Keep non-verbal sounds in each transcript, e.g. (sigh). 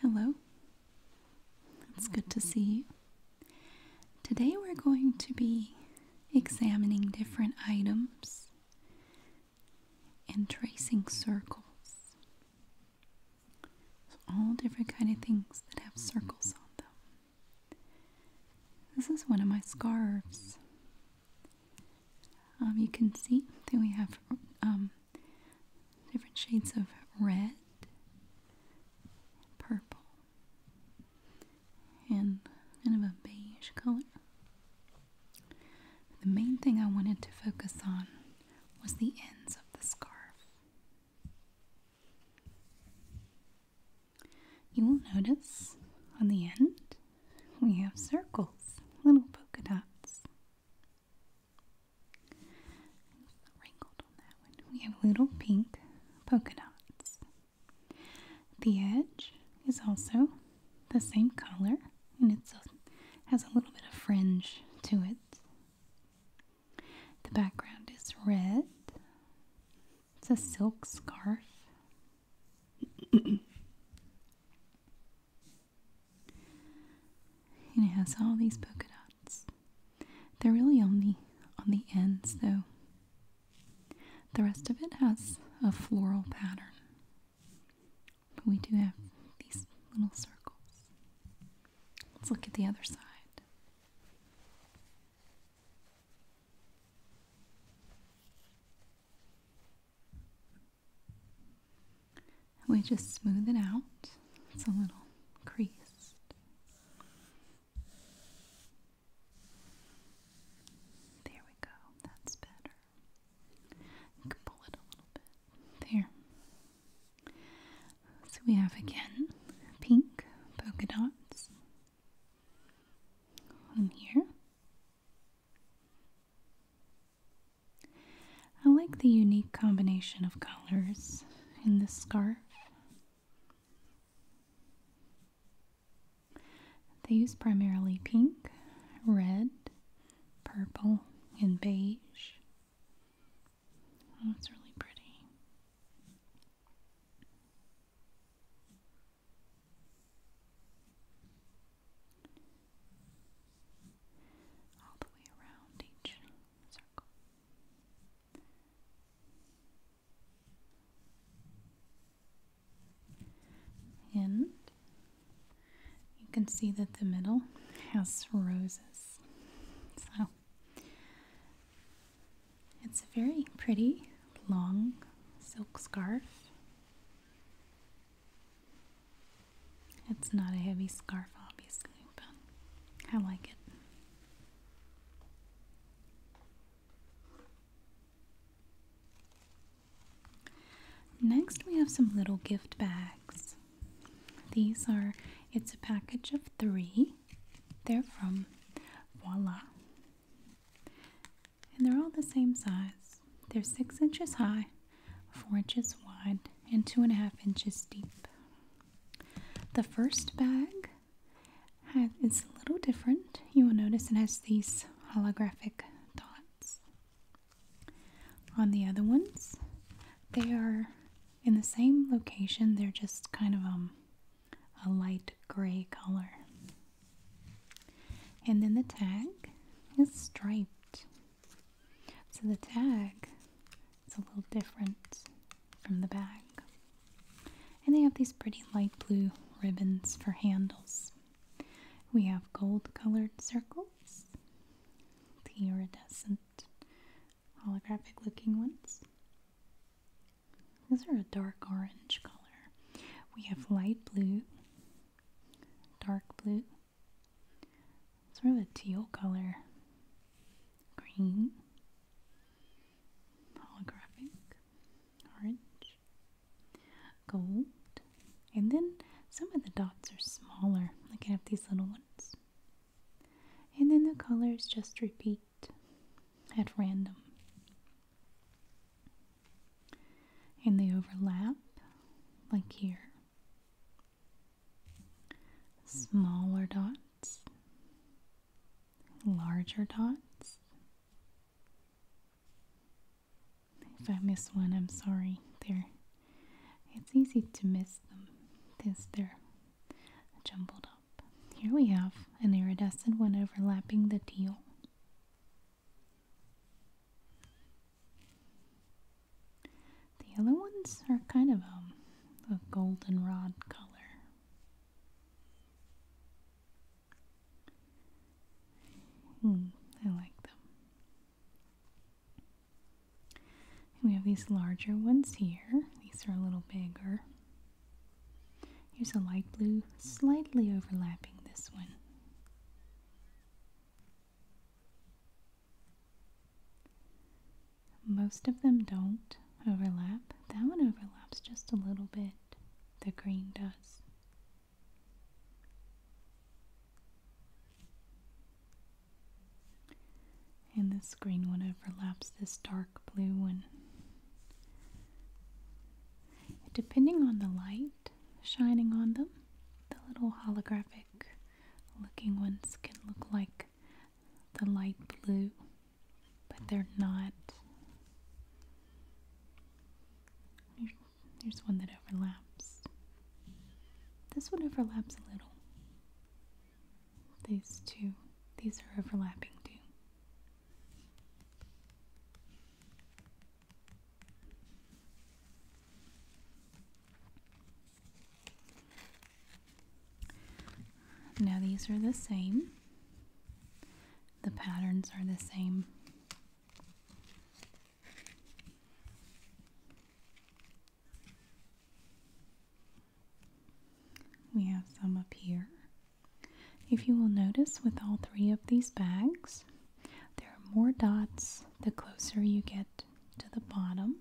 Hello, it's good to see you. Today we're going to be examining different items and tracing circles. all different kind of things that have circles on them. This is one of my scarves. Um, you can see that we have um, different shades of red, purple, and kind of a beige color. The main thing I wanted to focus on was the ends of the scarf. You will notice on the end we have circles, little polka dots. Wrinkled on that one. We have little pink polka dots. The edge is also the same color and it has a little bit of fringe to it. The background is red. It's a silk scarf. And it has all these polka dots. They're really only on the ends though. The rest of it has a floral pattern. But we do have these little circles. Let's look at the other side. We just smooth it out. It's a little creased. There we go. That's better. You can pull it a little bit. There. So we have again pink polka dots in here. I like the unique combination of colors in this scarf. They use primarily pink, red, purple, and beige. Oh, it's really pretty all the way around each circle. And you can see that the middle has roses. So it's a very pretty long silk scarf. It's not a heavy scarf, obviously, but I like it. Next, we have some little gift bags. These are, it's a package of three. They're from Voila and they're all the same size. They're six inches high, four inches wide, and two and a half inches deep. The first bag is a little different. You will notice it has these holographic dots. On the other ones, they are in the same location, they're just kind of um, a light gray color. And then the tag is striped. So the tag is a little different from the bag. And they have these pretty light blue ribbons for handles. We have gold colored circles, the iridescent holographic looking ones. These are a dark orange color. We have light blue, dark blue, Sort of a teal color. Green. Holographic. Orange. Gold. And then some of the dots are smaller. Like I have these little ones. And then the colors just repeat at random and they overlap, like here. Smaller dots, larger dots. If I miss one, I'm sorry. There, it's easy to miss them because they're jumbled up. Here we have an iridescent one overlapping the teal. The other ones are kind of um, a goldenrod color. Hmm, I like them. we have these larger ones here. These are a little bigger. Here's a light blue, slightly overlapping this one. Most of them don't overlap. That one overlaps just a little bit. The green does. And this green one overlaps this dark blue one. Depending on the light shining on them, the little holographic looking ones can look like the light blue, but they're not. There's one that overlaps. This one overlaps a little. These two, these are overlapping too. Now these are the same. The patterns are the same. We have some up here. If you will notice with all three of these bags, there are more dots the closer you get to the bottom.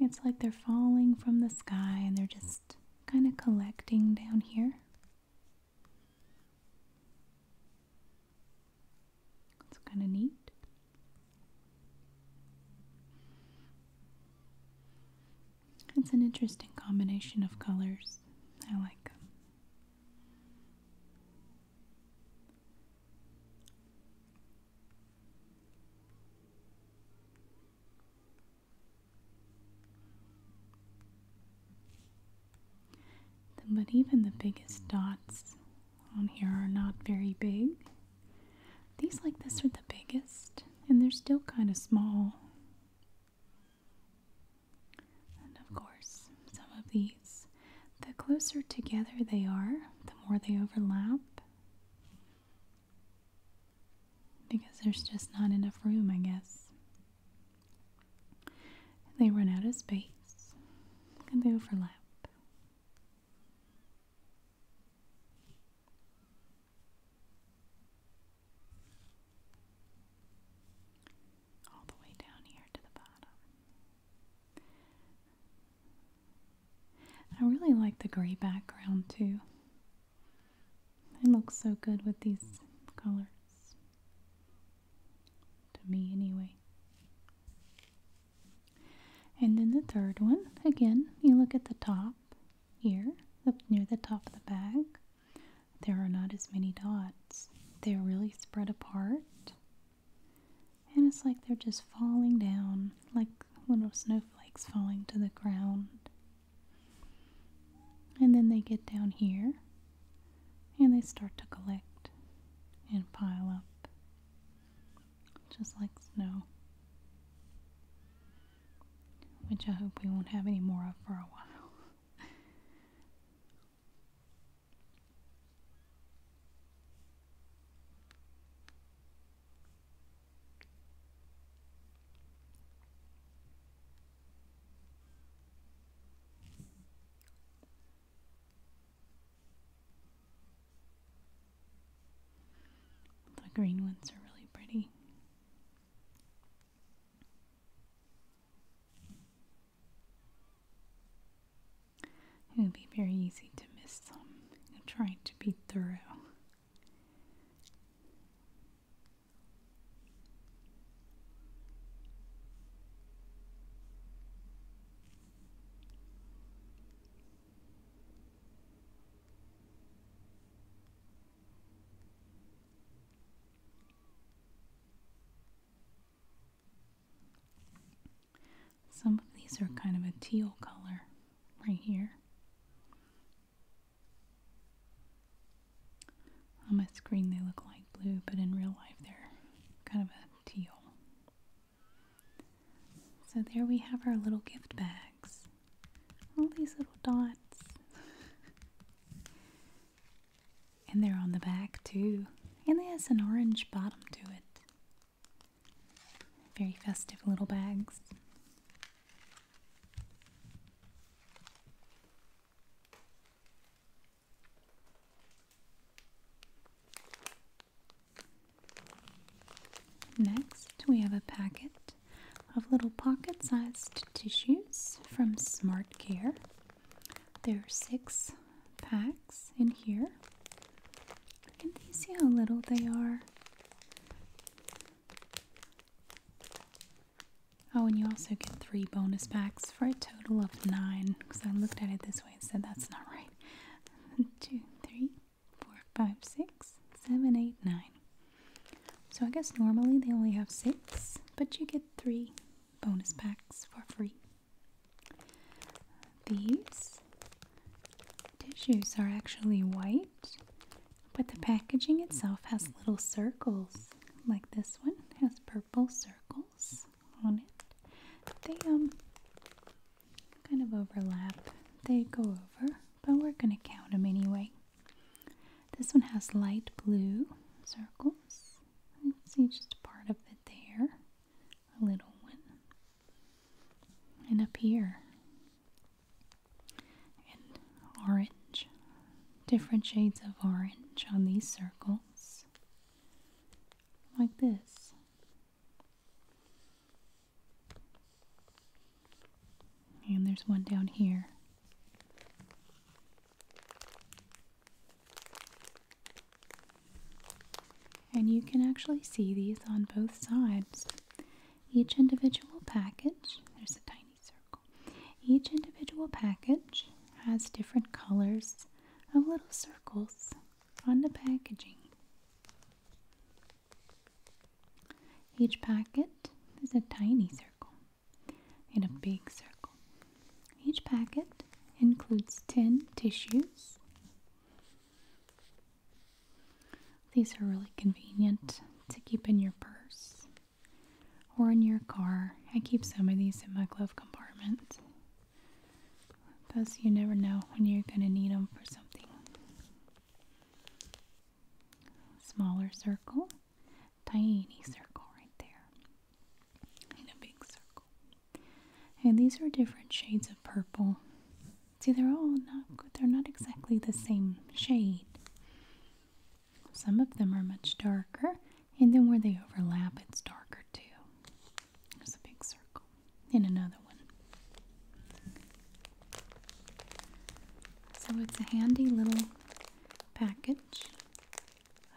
It's like they're falling from the sky and they're just kind of collecting down here. It's kind of neat. It's an interesting combination of colors. I like but even the biggest dots on here are not very big. These like this are the biggest, and they're still kind of small. And of course, some of these, the closer together they are, the more they overlap. Because there's just not enough room, I guess. They run out of space and they overlap. All the way down here to the bottom. I really like the gray background too. It looks so good with these colors. To me, anyway. And then the third one, again, you look at the top here, near the top of the bag. There are not as many dots, they're really spread apart. And it's like they're just falling down, like little snowflakes falling to the ground. And then they get down here and they start to collect and pile up, just like snow. Which I hope we won't have any more of for a while. The green ones are really pretty. It would be very easy to miss some. I'm trying to be thorough. Some of these are kind of a teal color right here. On my screen they look like blue, but in real life they're kind of a teal. So there we have our little gift bags. All these little dots. (laughs) And they're on the back too. And they have an orange bottom to it. Very festive little bags. Next, we have a packet of little pocket sized tissues from Smart Care. There are six packs in here. Can you see how little they are? Oh, and you also get three bonus packs for a total of nine. Because I looked at it this way and said that's not right. One, (laughs) two, three, four, five, six, seven, eight, nine. So I guess normally they only have six, but you get three bonus packs for free. These tissues are actually white, but the packaging itself has little circles, like this one has purple circles on it. They um kind of overlap. They go over, but we're going to count them anyway. This one has light blue circles. You can see just part of it there, a little one, and up here, and orange, different shades of orange on these circles, like this. And there's one down here. And you can actually see these on both sides. Each individual package, there's a tiny circle, each individual package has different colors of little circles on the packaging. Each packet is a tiny circle in a big circle. Each packet includes 10 tissues. These are really convenient to keep in your purse or in your car. I keep some of these in my glove compartment because you never know when you're going to need them for something. Smaller circle, tiny circle right there in a big circle. And these are different shades of purple. See, they're all not good. They're not exactly the same shade. Some of them are much darker, and then where they overlap, it's darker too. There's a big circle. And another one. So it's a handy little package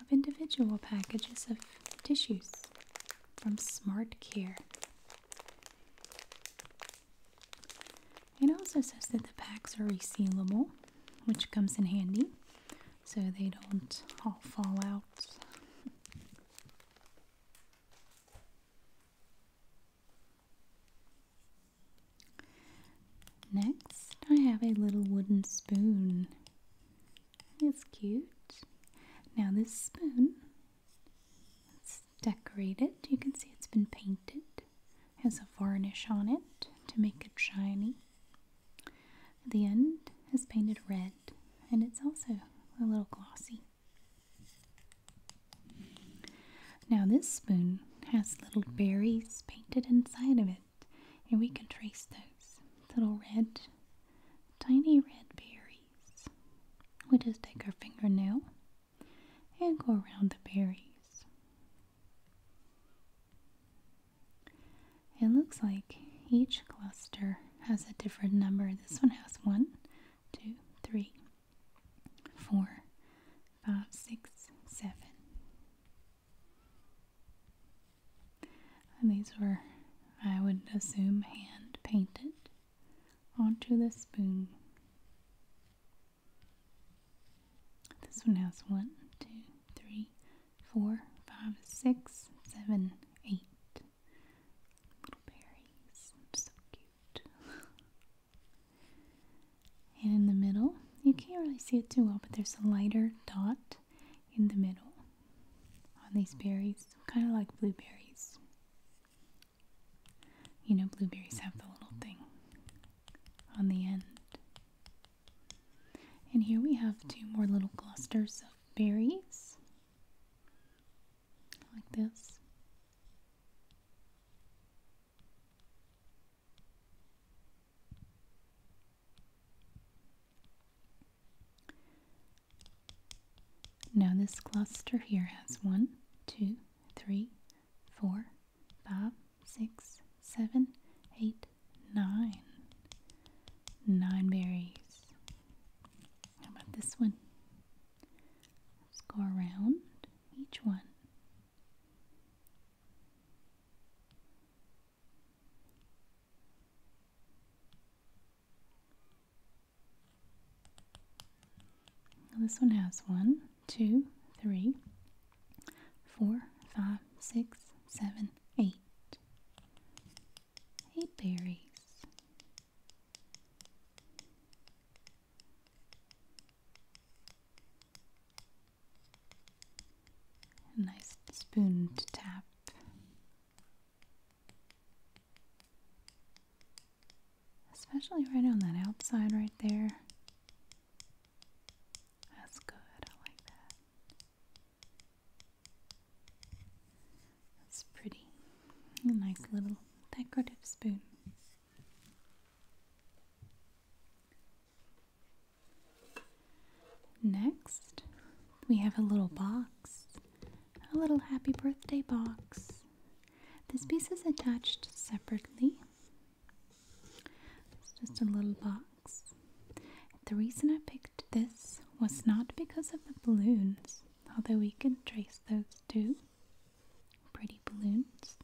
of individual packages of tissues from Smart Care. It also says that the packs are resealable, which comes in handy so they don't all fall out. Next, I have a little wooden spoon. It's cute. Now this spoon, it's decorated. You can see it's been painted. It has a varnish on it to make it shiny. The end is painted red and it's also a little glossy. Now this spoon has little berries painted inside of it and we can trace those little red tiny red berries. We just take our fingernail and go around the berries. It looks like each cluster has a different number. This one has one, two, three, four, five, six, seven. And these were, I would assume, hand painted onto the spoon. This one has one, two, three, four, five, six, seven, eight little berries. So cute. (laughs) and in the middle, you can't really see it too well, but there's a lighter dot in the middle on these berries, kind of like blueberries. You know, blueberries have the little thing on the end. And here we have two more little clusters of berries, like this. Now this cluster here has one, two, three, four, five, six, seven, eight, nine, nine six, seven, eight, nine. Nine berries. How about this one? Let's go around each one. This one has one, two, three, four, five, six, seven, eight, eight berries. A nice spoon to tap Especially right on that outside right there. That's good. I like that. That's pretty. A nice little decorative spoon. Next, we have a little box, a little happy birthday box. This piece is attached separately. It's just a little box. The reason I picked this was not because of the balloons, although we can trace those too. Pretty balloons.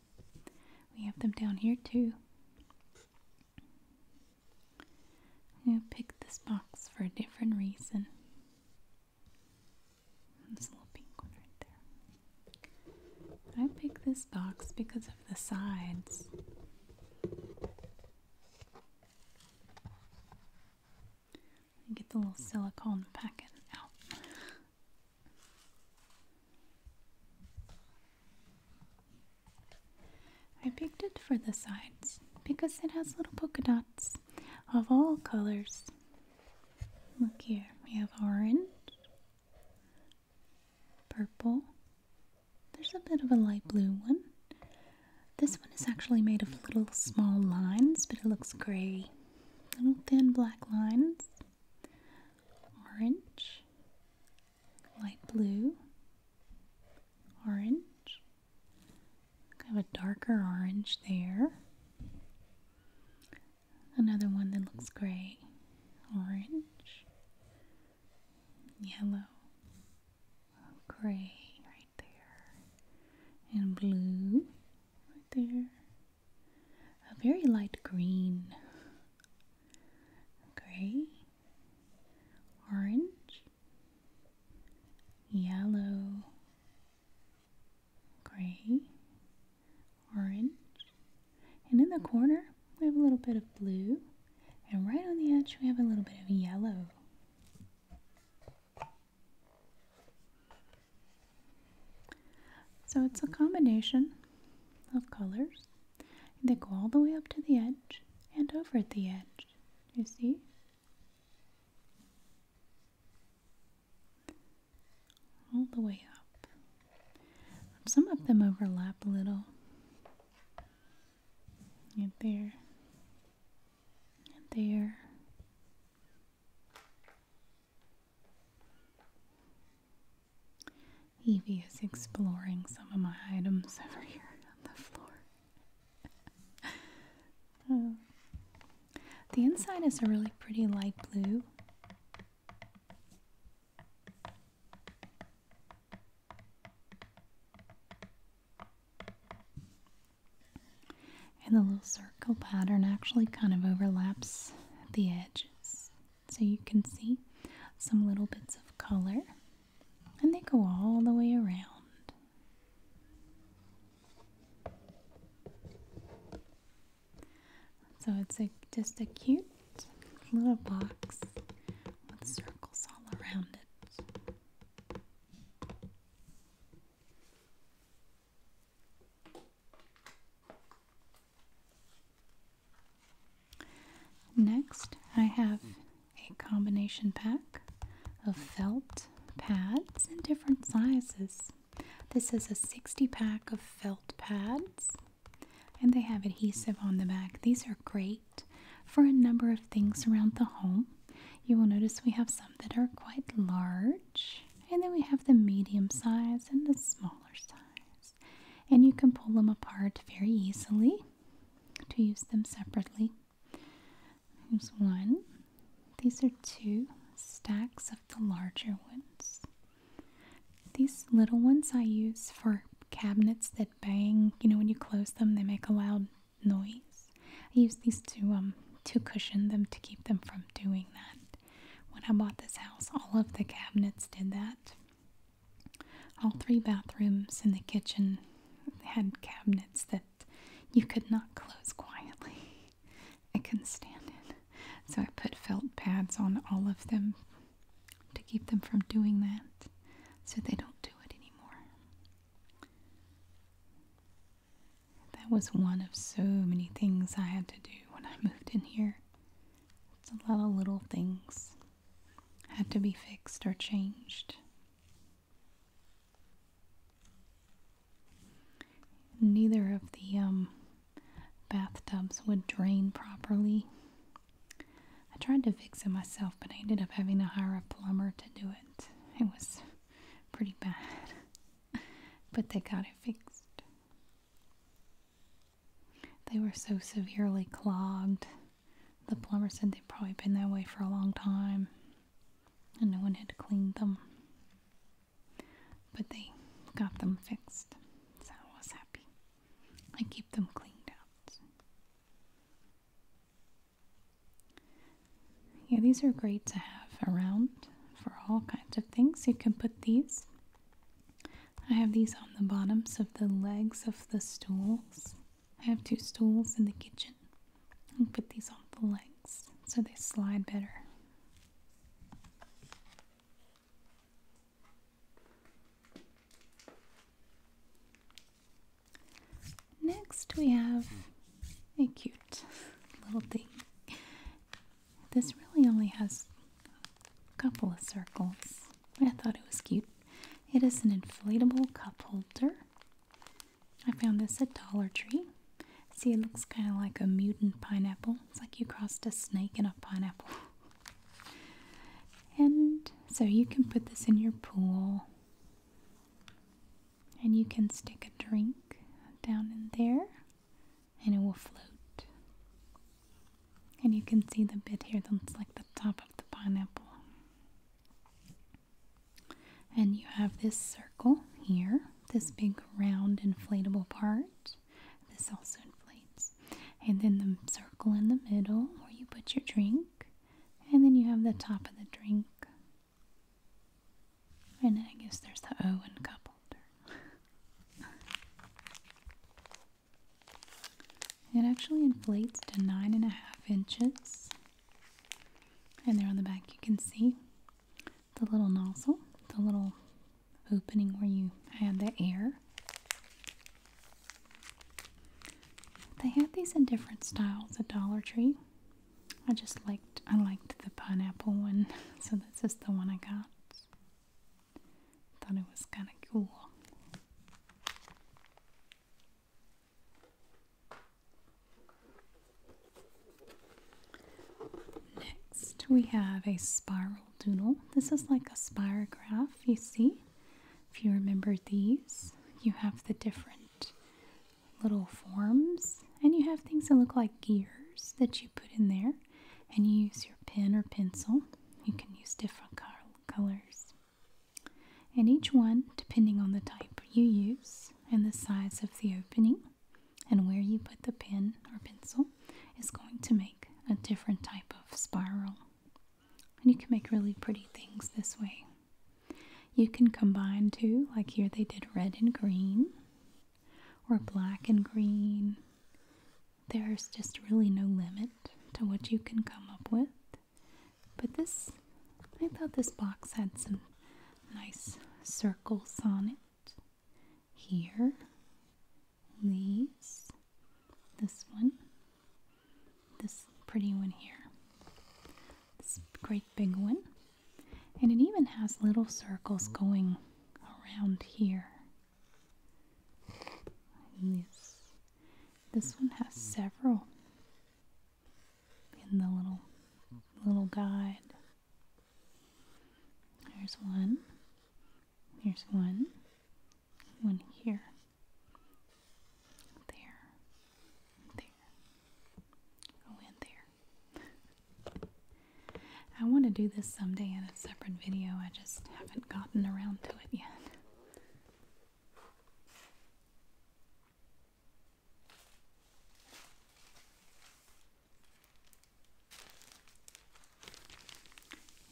We have them down here too i picked this box for a different reason. This little pink one right there. I picked this box because of the sides. Get the little silicone packet out. I picked it for the sides because it has little polka dots of all colors. Look here, we have orange, purple, there's a bit of a light blue one. This one is actually made of little small lines, but it looks gray. Little thin black lines, orange, light blue, orange, Kind of a darker orange there. Another one that looks gray, orange, yellow, gray right there, and blue right there. A very light green, gray, orange, yellow, gray, orange, and in the corner we have a little bit of blue, and right on the edge we have a little bit of yellow. So it's a combination of colors. They go all the way up to the edge and over at the edge. You see? all the way up. Some of them overlap a little. And there. And there. Evie is exploring some of my items over here on the floor. (laughs) The inside is a really pretty light blue. And the little circle pattern actually kind of overlaps the edges. So you can see some little bits of color and they go all the way around. So it's a, just a cute little box with circles all around it. Next, I have a combination pack of felt pads in different sizes. This is a 60 pack of felt pads, and they have adhesive on the back. These are great for a number of things around the home. You will notice we have some that are quite large, and then we have the medium size and the smaller size. And you can pull them apart very easily to use them separately. There's one. These are two stacks of the larger ones. These little ones I use for cabinets that bang. You know, when you close them, they make a loud noise. I use these to um to cushion them to keep them from doing that. When I bought this house, all of the cabinets did that. All three bathrooms and the kitchen had cabinets that you could not close quietly. I couldn't stand it. So I put felt pads on all of them to keep them from doing that so they don't do it anymore. That was one of so many things I had to do when I moved in here. a lot of little things had to be fixed or changed. Neither of the um, bathtubs would drain properly. I tried to fix it myself, but I ended up having to hire a plumber to do it. It was pretty bad, (laughs) but they got it fixed. They were so severely clogged. The plumber said they'd probably been that way for a long time and no one had cleaned them. But they got them fixed, so I was happy. I keep them cleaned out. Yeah, these are great to have around for all kinds of things. You can put these. I have these on the bottoms of the legs of the stools I have two stools in the kitchen. and put these on the legs so they slide better. Next, we have a cute little thing. This really only has a couple of circles, but I thought it was cute. It is an inflatable cup holder. I found this at Dollar Tree. See, it looks kind of like a mutant pineapple. It's like you crossed a snake and a pineapple. (laughs) and so you can put this in your pool. And you can stick a drink down in there and it will float. And you can see the bit here that's like the top of the pineapple. And you have this circle here, this big round inflatable part. This also inflates. And then the circle in the middle where you put your drink. And then you have the top of the drink. And I guess there's the O cup coupled. (laughs) it actually inflates to nine and a half inches and there on the back, you can see the little nozzle, the little opening where you add the air. They have these in different styles at Dollar Tree. I just liked I liked the pineapple one, (laughs) so this is the one I got. Thought it was kind of cool. Next, we have a spiral doodle. This is like a spirograph, you see. If you remember these, you have the different little forms, and you have things that look like gears that you put in there, and you use your pen or pencil. You can use different colors. And each one, depending on the type you use and the size of the opening and where you put the pen or pencil, is going to make a different type of spiral. And you can make really pretty things this way. You can combine two, like here they did red and green, or black and green. There's just really no limit to what you can come up with but this, I thought this box had some nice circles on it. Here, these, this one, this pretty one here, this great big one. And it even has little circles going around here. And this, this one has several in the little little guide. There's one. There's one. One here. There. There. Go oh, in there. I want to do this someday in a separate video. I just haven't gotten around to it yet.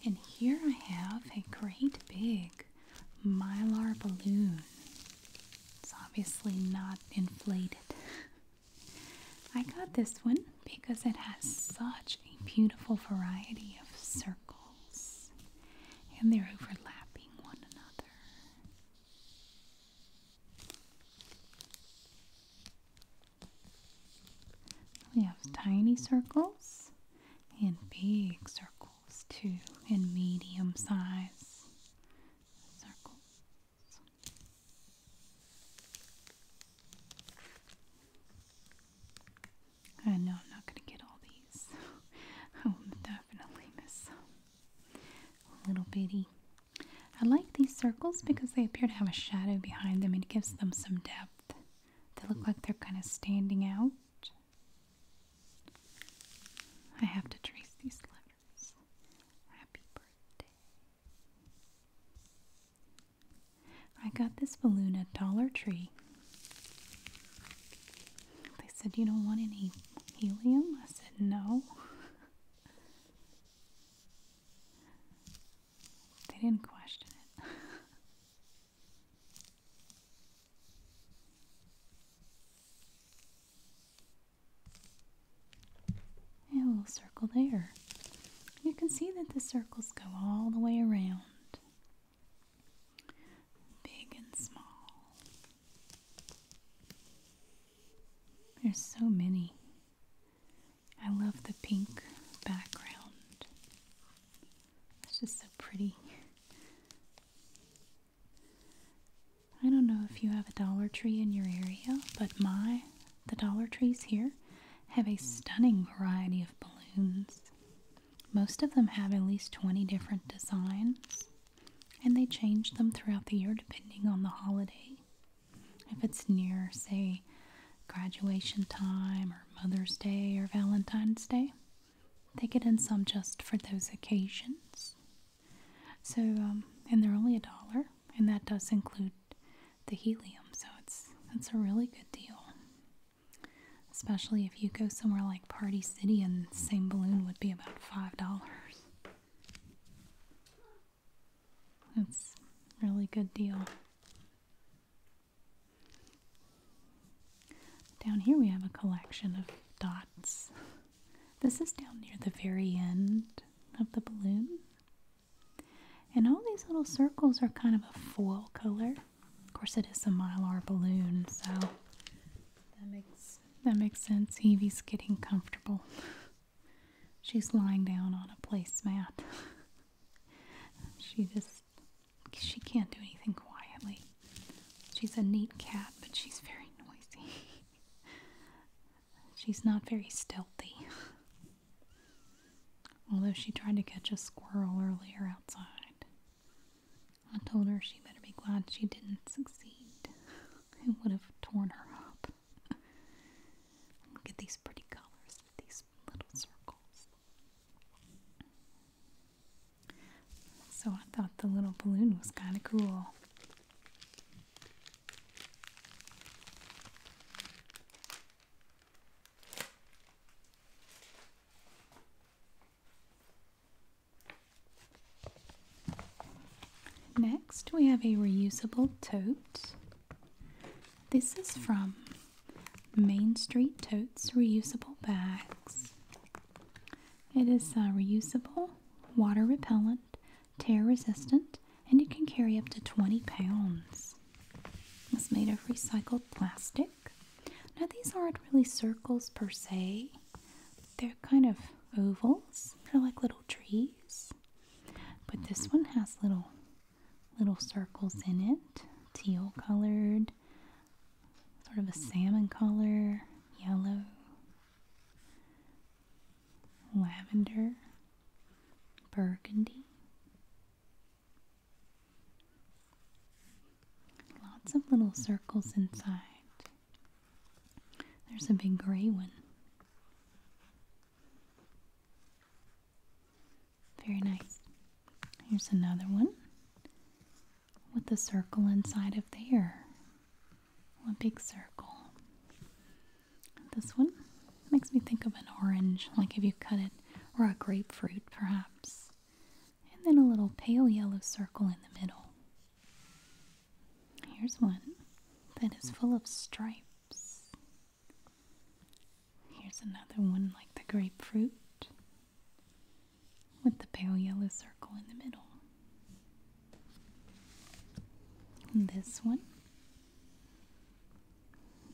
And here I have a great big mylar balloon. It's obviously not inflated. I got this one because it has such a beautiful variety of circles and they're overlapping one another. We have tiny circles and big circles too, and medium size circles. I know I'm not going to get all these. (laughs) I will definitely miss some. Little bitty. I like these circles because they appear to have a shadow behind them it gives them some depth. They look like they're kind of standing out. I have to trace these letters. Happy birthday. I got this balloon at Dollar Tree. They said, You don't want any helium? I said, No. they didn't question it. yeah, a little circle there. You can see that the circles go all the way around big and small. There's so many. I love the pink background. It's just so pretty. I don't know if you have a Dollar Tree in your area, but my the Dollar Trees here have a stunning variety of balloons. Most of them have at least 20 different designs and they change them throughout the year depending on the holiday. If it's near, say, graduation time or Mother's Day or Valentine's Day, they get in some just for those occasions. So, um, and they're only a dollar, and that does include the helium, so it's it's a really good deal, especially if you go somewhere like. Party City and same balloon would be about five dollars. That's really good deal. Down here we have a collection of dots. This is down near the very end of the balloon. And all these little circles are kind of a foil color. Of course, it is a mylar balloon, so that makes that makes sense. Evie's getting comfortable. She's lying down on a placemat. she just she can't do anything quietly. She's a neat cat, but she's very noisy. she's not very stealthy. Although she tried to catch a squirrel earlier outside. I told her she better be glad she didn't succeed. It would have torn her up. Look at these pretty colors with these little circles. So I thought the little balloon was kind of cool. Next, we have a reusable tote. This is from Main Street Totes Reusable Bags. It is uh, reusable, water repellent, tear resistant, and it can carry up to 20 pounds. It's made of recycled plastic. Now, these aren't really circles per se, they're kind of ovals. They're like little trees. But this one has little little circles in it. Teal colored, sort of a salmon color, yellow, lavender, burgundy. Lots of little circles inside. There's a big gray one. Very nice. Here's another one with a circle inside of there. One big circle. This one makes me think of an orange, like if you cut it, or a grapefruit perhaps. And then a little pale yellow circle in the middle. Here's one that is full of stripes. Here's another one like the grapefruit with the pale yellow circle in the middle. this one.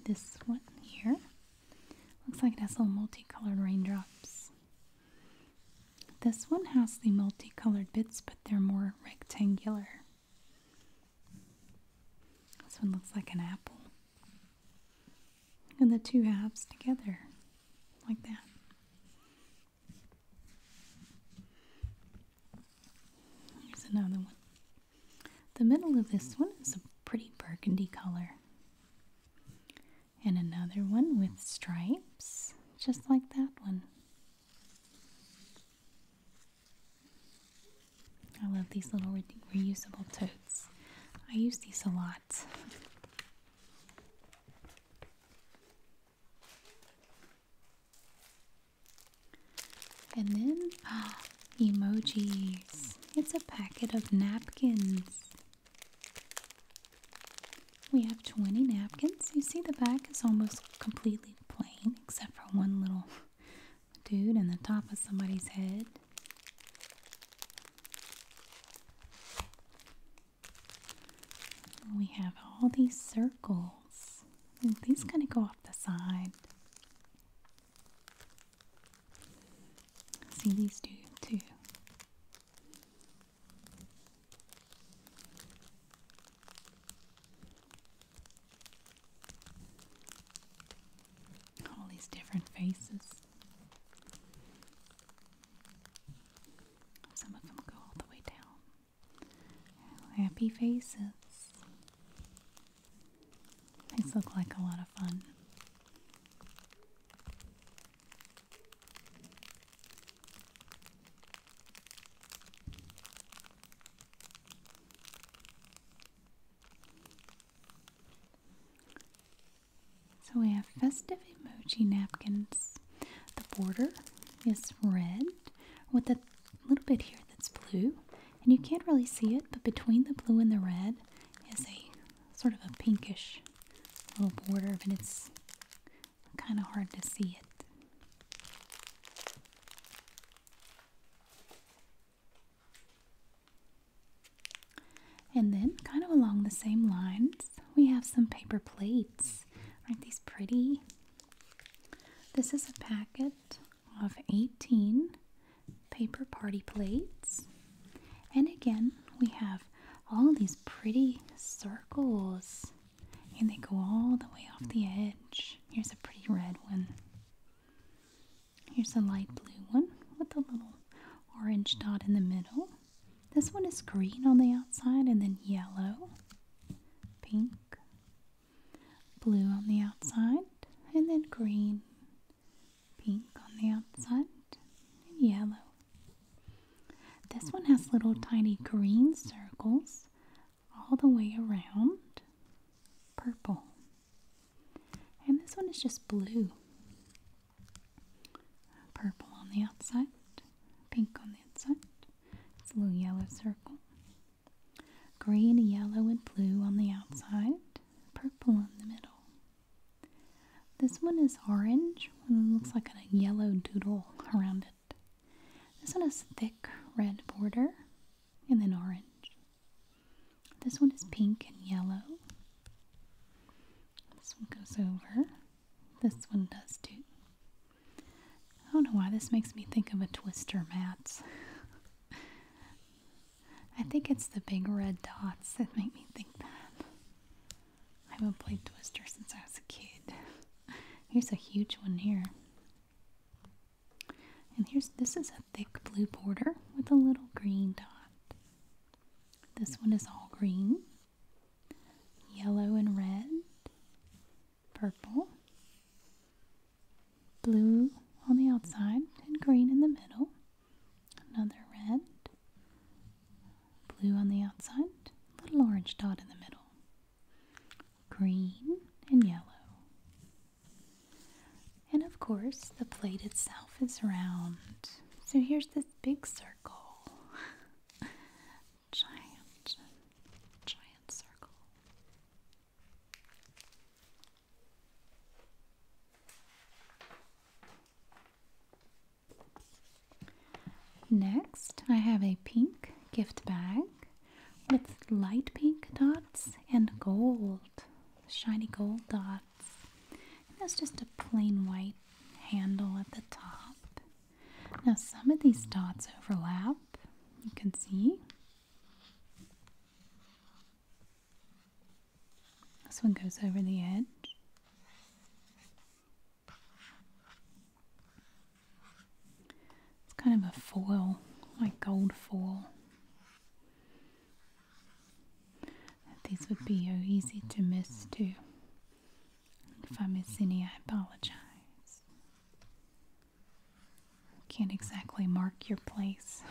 This one here looks like it has little multicolored raindrops this one has the multicolored bits, but they're more rectangular. This one looks like an apple. And the two halves together, like that. Here's another one. The middle of this one is a pretty burgundy color and another one with stripes, just like that one. I love these little reusable totes. I use these a lot. And then ah, emojis. It's a packet of napkins. We have 20 napkins. You see the back is almost completely plain except for one little dude in the top of somebody's head. We have all these circles. These kind of go off the side. See these two too. All these different faces. Some of them go all the way down. Happy faces. These look like a lot of fun. So we have festive emoji napkins. The border is red with a little bit here that's blue, and you can't really see it, but between the blue and the red is a sort of a pinkish little border, but it's kind of hard to see it. And then, kind of along the same lines, we have some paper plates. Aren't these pretty? This is a packet of 18 paper party plates. And again, we have all these pretty circles and they go all the way off the edge. Here's a pretty red one. Here's a light blue one with a little orange dot in the middle. This one is green on the outside and then yellow, pink, blue on the outside, and then green, pink on the outside, and yellow. This one has little tiny green circles all the way around. Purple. And this one is just blue. Purple on the outside, pink on the inside. It's a little yellow circle. Green, yellow, and blue on the outside, purple in the middle. This one is orange, and looks like a yellow doodle around it. This one has thick red border and then orange. This one is pink and yellow. This one goes over. This one does too. I don't know why this makes me think of a twister mat. (laughs) I think it's the big red dots that make me think that. I haven't played Twister since I was a kid. (laughs) Here's a huge one here. And here's this is a thick blue border with a little green dot. This one is all green, yellow and red, purple, blue on the outside, and green in the middle. Another red, blue on the outside, little orange dot in the middle, green and yellow. And of course, the plate itself is round. So here's this big circle. (laughs) giant, giant circle. Next, I have a pink gift bag with light pink dots and gold, shiny gold dots. And has just a plain white handle at the top. Now, some of these dots overlap, you can see. This one goes over the edge. It's kind of a foil, like gold foil. These would be easy to miss too. If I miss any, I apologize. Can't exactly mark your place.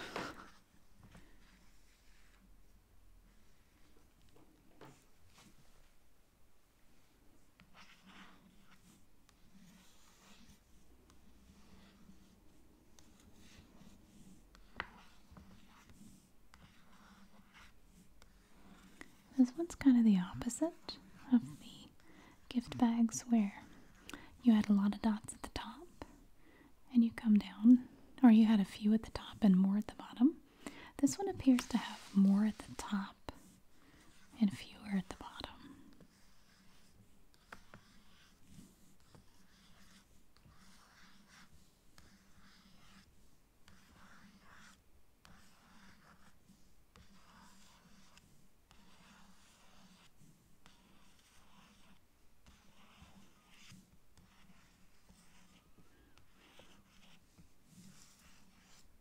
This one's kind of the opposite of the gift bags where you had a lot of dots at the top and you come down, or you had a few at the top and more at the bottom. This one appears to have more at the top and fewer at the bottom.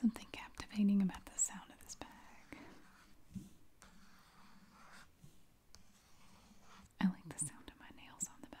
Something captivating about the sound of this bag. I like the sound of my nails on the bag.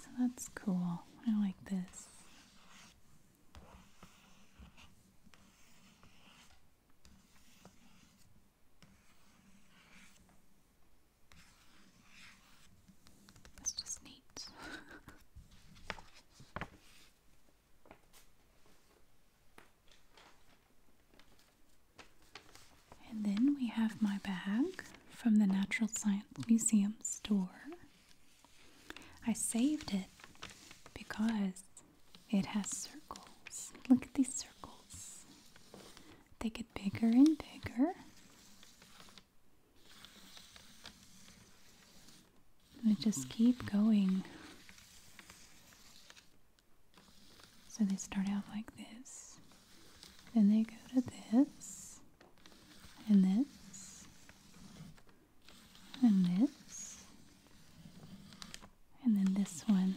So that's cool. I like this. That's just neat. And then we have my bag from the Natural Science Museum store. I saved it because it has circles. Look at these circles. They get bigger and bigger. They just keep going. So they start out like this. Then they go to this and this, and this, and then this one.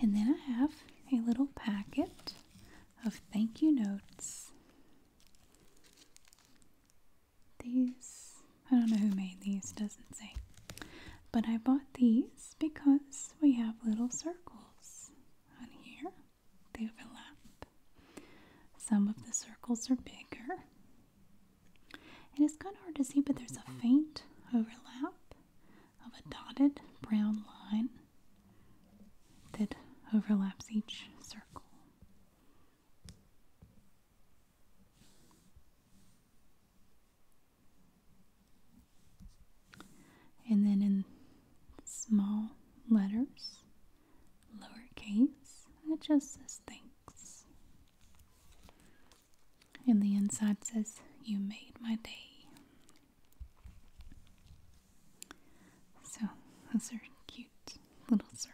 And then I have a little packet of thank you notes. These, I don't know who made these, doesn't say. But I bought these because we have little circles on here. They overlap. Some of the circles are bigger. And it's kind of hard to see, but there's a mm-hmm. faint overlap of a dotted brown line that overlaps each circle. And then in small letters, lowercase. It just says thanks. And the inside says, You made my day. So, those are cute little circles.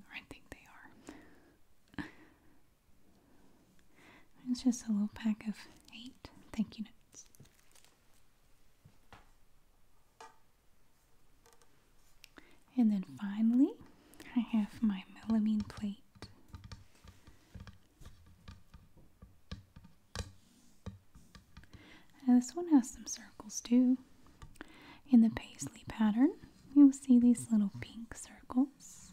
Or I think they are. (laughs) It's just a little pack of eight thank you notes. And then finally, I have my melamine plate. Now this one has some circles too. In the paisley pattern, you'll see these little pink circles.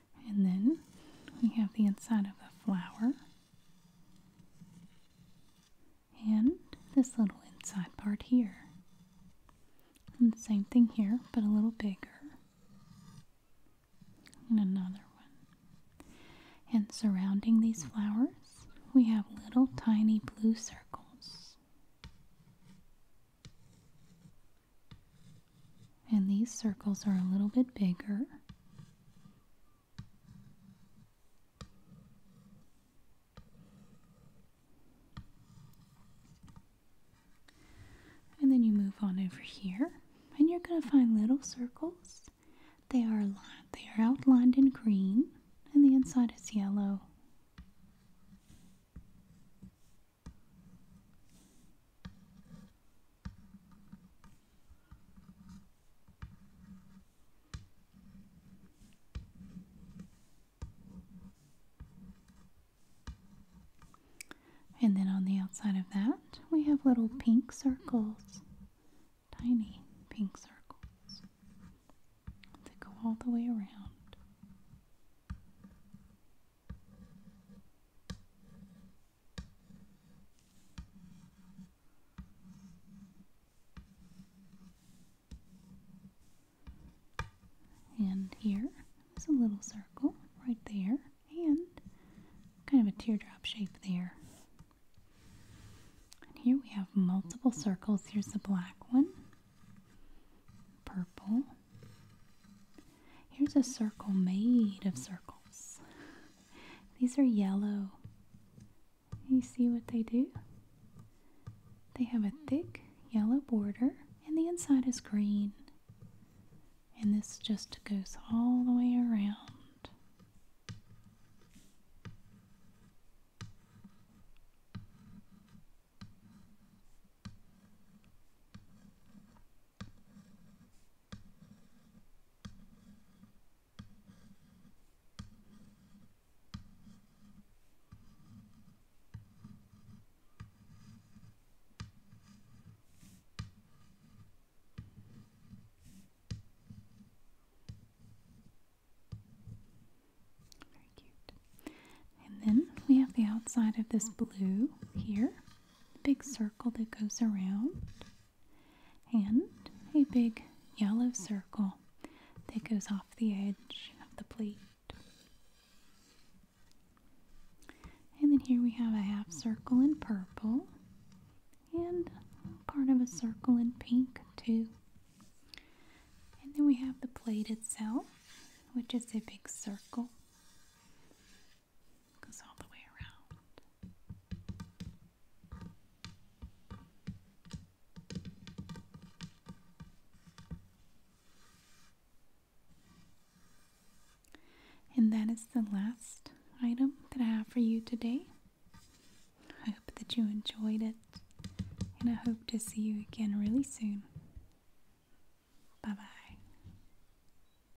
And then we have the inside of a flower and this little inside part here. And the same thing here, but a little bigger. And another one. And surrounding these flowers, we have little tiny blue circles. And these circles are a little bit bigger. And then you move on over here and you're going to find little circles. They are they are outlined in green and the inside is yellow. And then on the outside of that, we have little pink circles, tiny pink circles that go all the way around. And here is a little circle right there, and kind of a teardrop shape there. And here we have multiple circles. Here's the black one, purple, Here's a circle made of circles. These are yellow. You see what they do? They have a thick yellow border and the inside is green. And this just goes all the way around. Very cute. And then we have the outside of this blue here the big circle that goes around, and a big yellow circle that goes off the edge of the plate. And then here we have a half circle in purple and part of a circle in pink too. And then we have the plate itself, which is a big circle and that is the last item that I have for you today. I hope that you enjoyed it, and I hope to see you again really soon. Bye bye.